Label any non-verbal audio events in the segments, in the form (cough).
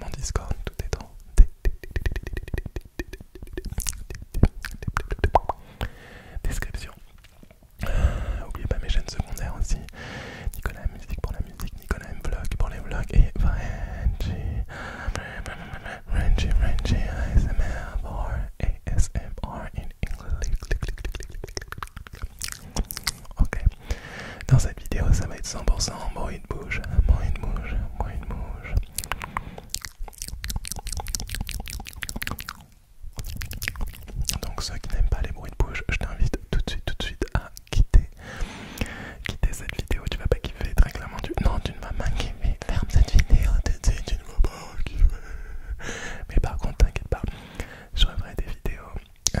mon Discord, tout est dans description. N'oubliez ah, pas mes chaînes secondaires aussi. Nicolas Musique pour la musique, Nicolas M Vlog pour les vlogs et Rangy Rangy Rangy ASMR pour ASMR in English. Ok, dans cette vidéo, ça va être 100% bruit de bouche, bruit de bouche, bruit de bouche. Donc ceux qui n'aiment pas les bruits de bouche, je t'invite tout de suite, tout de suite à quitter, quitter cette vidéo. Tu vas pas kiffer, très clairement. Non, tu ne vas pas kiffer. Ferme cette vidéo tout tu ne vas pas kiffer. Mais par contre, t'inquiète pas, je referai des vidéos. Euh,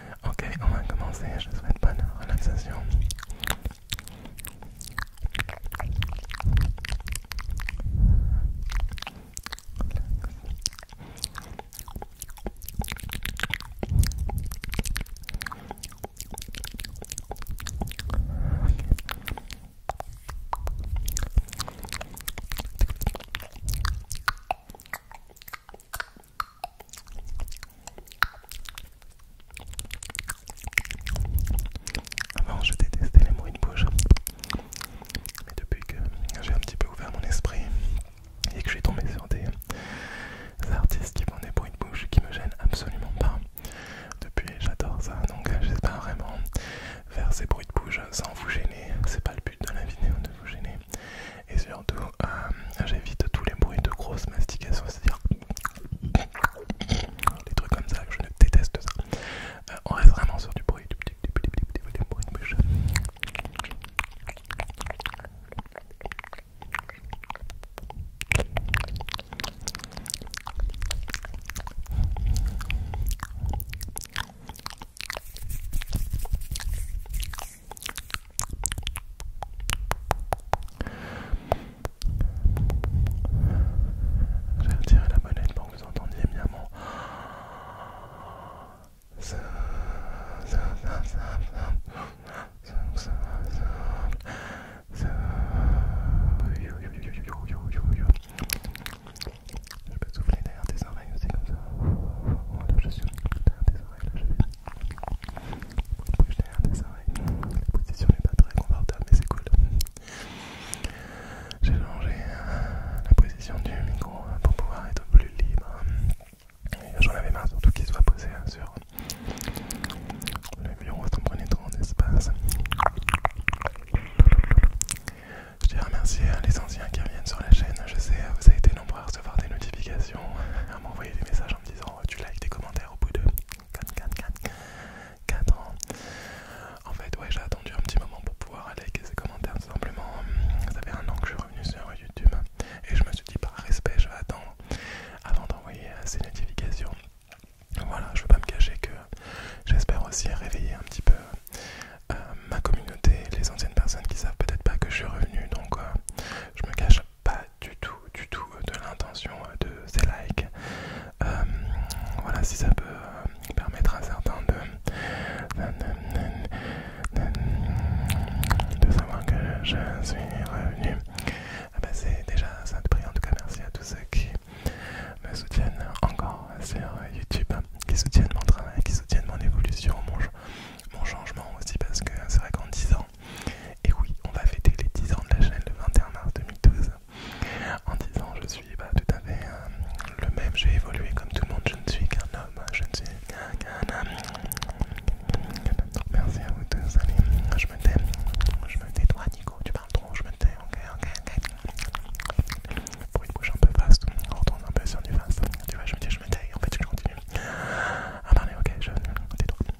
Ok, on va commencer. Je te souhaite bonne relaxation. Avant, je détestais les bruits de bouche. Mais depuis que j'ai un petit peu ouvert mon esprit et que je suis tombé sur des artistes qui font des bruits de bouche qui me gênent absolument pas, depuis j'adore ça. Donc, j'espère vraiment faire ces bruits de bouche sans vous gêner. C'est pas le but de la vidéo de vous gêner et surtout euh, j'évite tous les bruits de grosses mastications, c'est-à-dire des trucs comme ça, je déteste ça. Euh, on reste vraiment sur du bruit, du bruit du bruit de bouche. J'ai retiré la monnaie pour que vous entendiez bien mon... Je peux souffler derrière tes oreilles aussi comme ça. je suis derrière tes oreilles, là je vais ça. la position n'est pas très confortable, mais c'est cool. J'ai changé la position du micro pour pouvoir être plus libre. J'en avais marre surtout qu'il soit posé sur le bureau, ça en prenait espace. Je tiens à remercier les anciens qui reviennent sur la chaîne. Je sais, vous avez été nombreux à recevoir des notifications, à m'envoyer des messages en me disant Oh, tu likes tes commentaires au bout de 4, ans. En fait, ouais, j'ai attendu un petit moment pour pouvoir liker ces commentaires, tout simplement. Ça fait un an que je suis revenu sur YouTube et je me suis dit, par respect, je vais attendre avant d'envoyer euh, ces notifications. Voilà, je veux pas me cacher que j'espère aussi réveiller un petit peu euh, ma communauté, les anciennes personnes qui savent peut-être pas que je suis revenu, donc euh, je me cache pas du tout, du tout de l'intention euh, de ces likes. Euh, voilà, si ça peut euh, permettre à certains de, savoir que je suis revenu, ah bah, c'est déjà ça de prix. En tout cas, merci à tous ceux qui me soutiennent encore sur YouTube, qui soutiennent mon travail, qui soutiennent mon évolution, mon, mon changement aussi, parce que c'est vrai qu'en 10 ans, et oui, on va fêter les 10 ans de la chaîne le 21 mars 2012. En 10 ans, je suis bah, tout à fait euh, le même, j'ai évolué comme tout le monde, je ne suis qu'un homme, je ne suis qu'un homme. Merci à vous tous, allez, je me tais, je me tais, toi Nico, tu parles trop, je me tais, ok, ok, ok. Pour une bouche un peu vaste, on retourne un peu sur du vaste, tu vois, je me dis, je me tais, en fait, je continue à ah, parler, ok, je me tais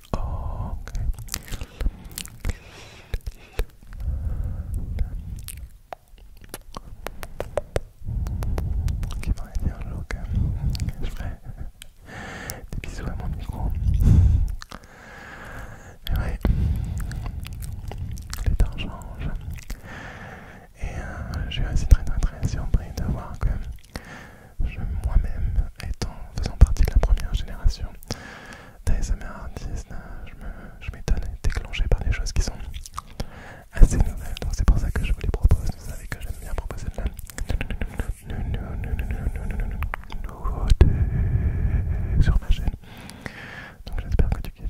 ok. Qui pourrait dire un jour que je ferai des bisous à mon micro. Mais ouais, les temps changent. Et j'ai je suis aussi très très très surpris de voir que je moi-même, étant faisant partie de la première génération, d'ASMR artiste, je m'étonne, déclenché par des choses qui sont assez nouvelles. Donc c'est pour ça que je vous les propose. Vous savez que j'aime bien proposer de la nouveauté sur ma chaîne. Donc j'espère que tu kiffes.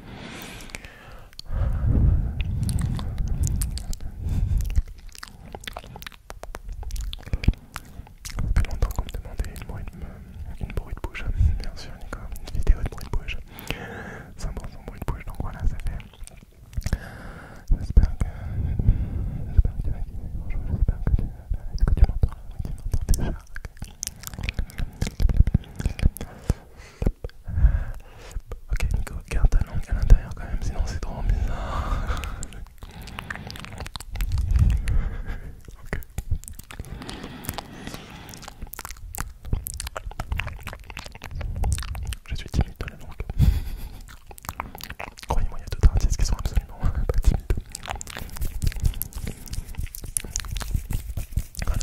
Ça fait longtemps qu'on me demandait une bruit de, une de bouche, bien sûr, Nico, une vidéo de bruit de bouche. 100% bruit de bouche, donc voilà, ça fait. J'espère que. J'espère que tu vas kiffer. bonjour, j'espère que tu vas. Est-ce que tu m'entends tu m'entends déjà. Ok Nico, garde ta langue à l'intérieur quand même, sinon c'est trop bizarre. ok. Je suis timide de la langue. Croyez-moi, il y a d'autres artistes qui sont absolument pas timides. Voilà,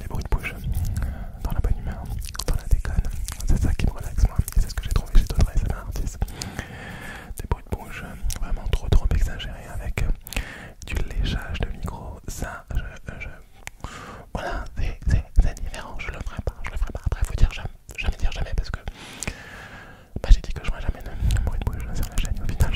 les bruits de bouche, euh, dans la bonne humeur, dans la déconne, c'est ça qui me relaxe moi, et c'est ce que j'ai trouvé chez d'autres un artiste. Des bruits de bouche vraiment trop trop exagérés avec euh, du léchage de micro, ça je... Voilà, c'est différent, je le ferai pas, je le ferai pas. Après, faut dire jamais, jamais dire jamais parce que bah, j'ai dit que je ferai jamais de bruit de bouche sur la chaîne au final.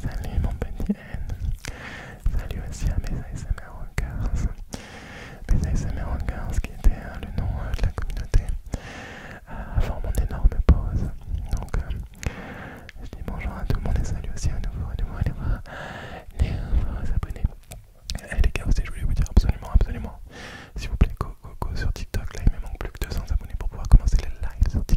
Salut mon petit N. Salut aussi à mes ASMR Rockers. Mes ASMR qui était hein, le nom euh, de la communauté euh, avant mon énorme pause. Donc euh, je dis bonjour à tout le monde et salut aussi à nouveau, à nouveau, à nouveau, les abonnés. Et eh, les gars aussi je voulais vous dire absolument, absolument, s'il vous plaît, go, go, go sur TikTok. Là il me manque plus que 200 abonnés pour pouvoir commencer les lives sur TikTok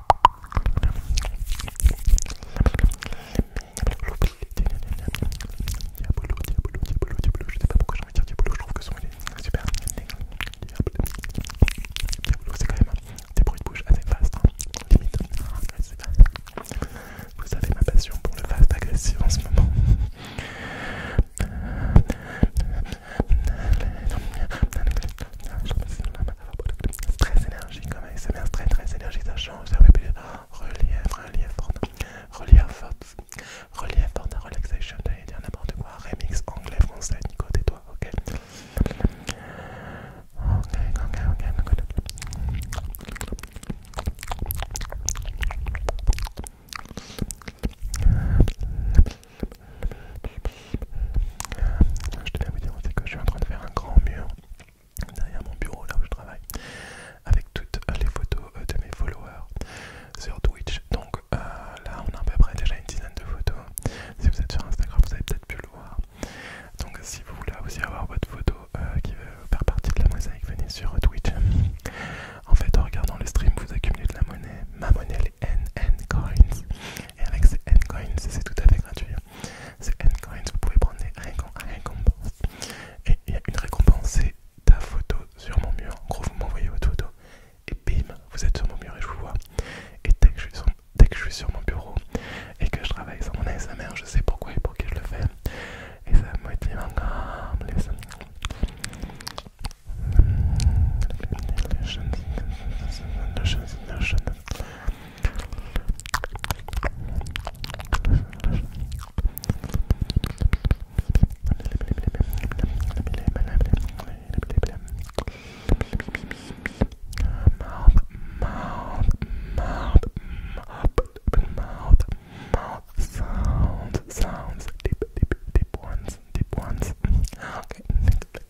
Diabolo, Diabolo, Diabolo, Diabolo, je ne sais pas pourquoi j'ai envie de dire Diabolo, je trouve que son il est super. Diabolo, c'est quand même des bruits de bouche assez fast, limite. Vous savez ma passion pour le fast agressif en ce moment. Stress, énergie, comme un stress, stress, énergie, ça change, ça fait plus Relief, relief, relief, relief, fort, relaxation, n'importe quoi. Remix anglais, français, Nico, toi ok. Je à vous dire aussi que je suis en train de faire un grand mur derrière mon bureau là où je travaille avec toutes les photos euh, de mes followers sur Twitch. Donc euh, là on a à peu près déjà une dizaine de photos. Si vous êtes sur Instagram vous avez peut-être pu le voir. Donc si vous voulez aussi avoir votre photo euh, qui veut faire partie de la mosaïque, venez sur Twitch. En fait en regardant le stream vous accumulez de la monnaie. Ma monnaie les NN Coins. Et avec ces endcoins, c'est tout à fait gratuit. Ces n vous pouvez prendre des récompenses. Et il y a une récompense, c'est ta photo sur mon mur. En gros, vous m'envoyez votre photo et bim, vous êtes sur mon mur et je vous vois. Et dès que je suis sur, mon bureau et que je travaille sur mon examen, je sais pourquoi et pour qui je le fais. Et ça me motive encore plus. Mouth, mouth, mouth, mouth, mouth sounds, sounds, deep, deep, deep ones, deep ones. Okay, next.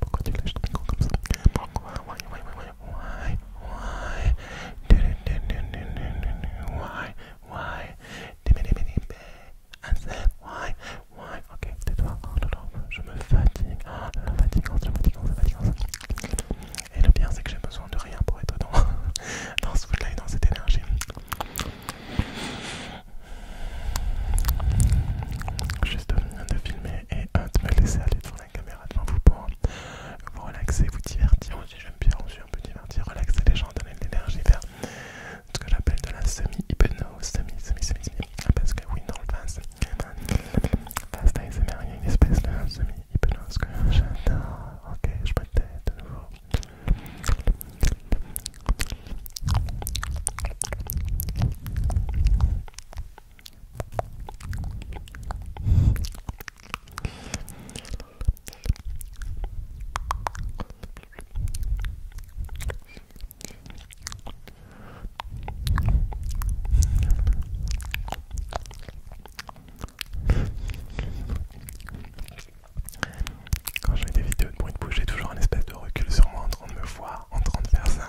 pourquoi tu lâches ton micro comme ça Pourquoi Why, why, why, why Why Why Why Why Why Ok, tais-toi. Je me fatigue. je me fatigue. la fatigance, la fatigance, la fatigance. Et le bien c'est que j'ai besoin de rien pour être dans, dans ce foot et dans cette énergie. Juste de filmer et de me laisser aller devant la caméra devant vous pour vous relaxer, vous divertir aussi. J'aime bien aussi un peu divertir, relaxer les gens, donner de l'énergie vers ce que j'appelle de la semi-hypnose, semi, semi, semi, semi. Ah, parce que oui, dans le face, face d'ASMR, il y a une espèce de semi-hypnose que j'adore. Ok, je me tais de nouveau. Quand je des vidéos de bruit de bouche, j'ai toujours un espèce de recul sur moi en train de me voir, en train de faire ça.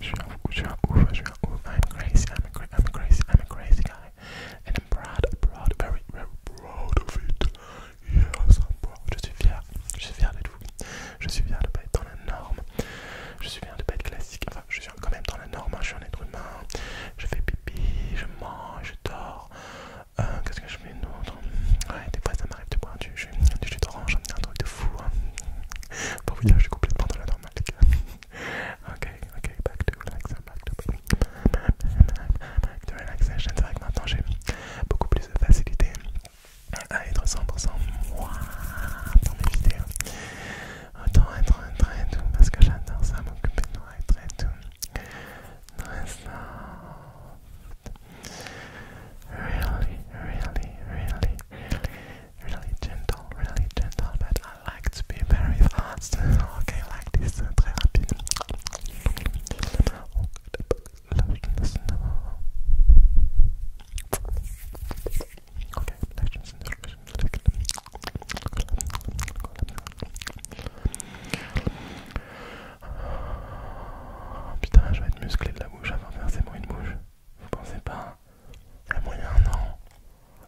Je suis un ouf, je suis un ouf, je suis un ouf. I'm crazy, I'm a, I'm a crazy, I'm a crazy guy. and I'm very, very of it. Je suis fier, je suis fier d'être vous. Je suis fier de pas être dans la norme. Je suis fier de pas être classique. Enfin, je suis quand même dans la norme. Hein. Je suis un être humain. Je fais pipi, je mange, je dors. Euh, qu'est-ce que je mets d'autre Ouais, des fois ça m'arrive de boire du jus, d'orange, un truc de fou. Hein. Pour vous dire, je suis complètement dans la normale, (laughs) ok, ok, back to relaxation, back to, back to relaxation. C'est vrai que maintenant j'ai beaucoup plus de facilité à être 100% moi dans mes vidéos. Autant être très doux, parce que j'adore ça, m'occuper de moi, être Très soft. Really, really, really, really, really gentle, really gentle, but I like to be very fast. Okay, like this, uh, très rapide. Oh, okay, Putain, je vais être musclé de la bouche avant de faire ces bruits de bouche. Vous pensez pas? Il y a moyen, non?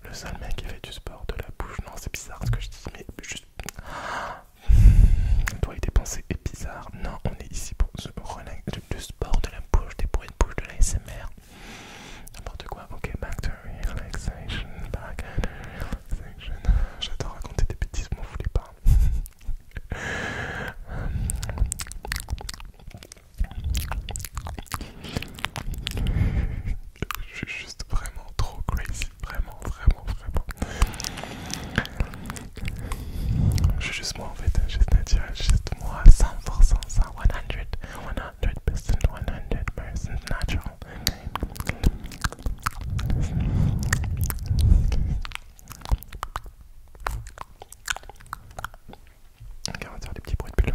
Le seul mec qui fait du sport de la bouche, non, c'est bizarre ce que je dis, mais juste. (gasps) Toi et tes pensées est bizarre. Non, on est ici pour ce relax. du sport de la bouche, des bruits de bouche, de l'ASMR. N'importe quoi. Ok, back to relaxation. Back relaxation. J'adore raconter des bêtises, vous voulez pas. (laughs) je suis juste vraiment trop crazy, vraiment, vraiment, vraiment. Je suis juste moi en fait, juste naturel, juste moi, 100%, 100, 100 100%, 100% natural. Ok, on va des petits bruits de pull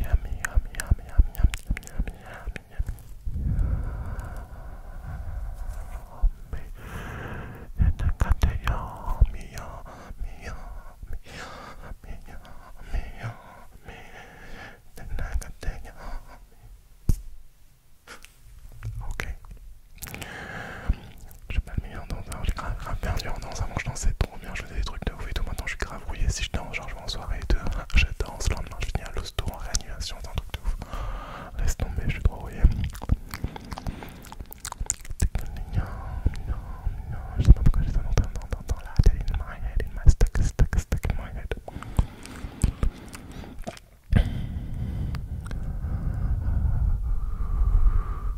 Yummy, yummy, yummy, pas le j'ai grave, perdu en danse dans je je faisais des trucs de ouf et tout, maintenant je suis grave rouillé, si je danse, genre (laughs) je en soirée et je danse, le lendemain je finis à l'hosto en réanimation, c'est un truc de ouf. Laisse tomber, je suis rouillé.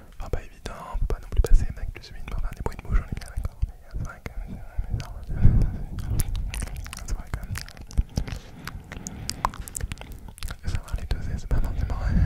Enfin, ah, pas évident, on peut pas non plus passer mec plus vite, enfin, des bruits de bouche, on est bien d'accord, mais euh, c'est vrai que c'est bizarre. C'est vrai quand même. Il faut Savoir les doser, c'est pas forcément évident.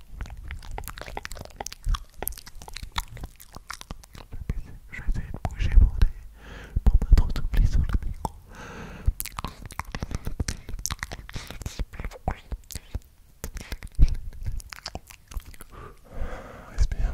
Je vais essayer de bouger mon nez pour pas trop souffler sur le micro. Respire.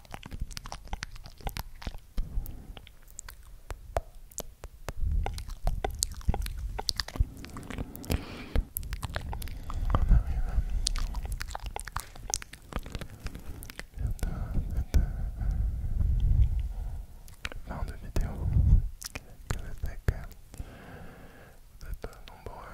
On arrive bientôt à la fin de vidéo que que vous êtes nombreux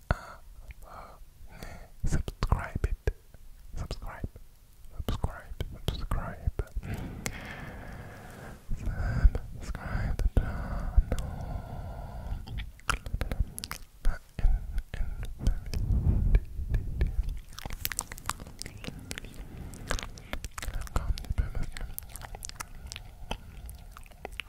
subscribe it. Subscribe. Subscribe. Subscribe. Subscribe the channel.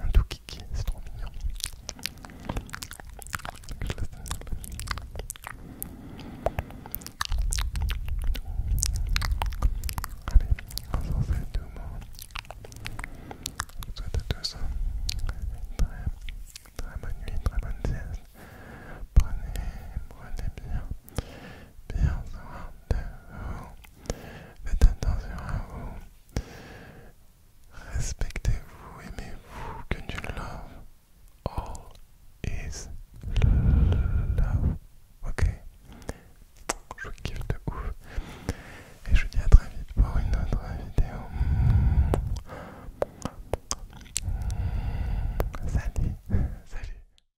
Un doux kiki, c'est trop mignon. Allez, on s'en fait deux mots. Je vous souhaite à tous très, très bonne nuit, très bonne sieste. Prenez, prenez bien bien soin de vous. Faites attention à vous. Respectez-vous, aimez-vous, que du love. All is love. Ok Je vous kiffe de ouf. Et je vous dis à très vite pour une autre vidéo. Salut Salut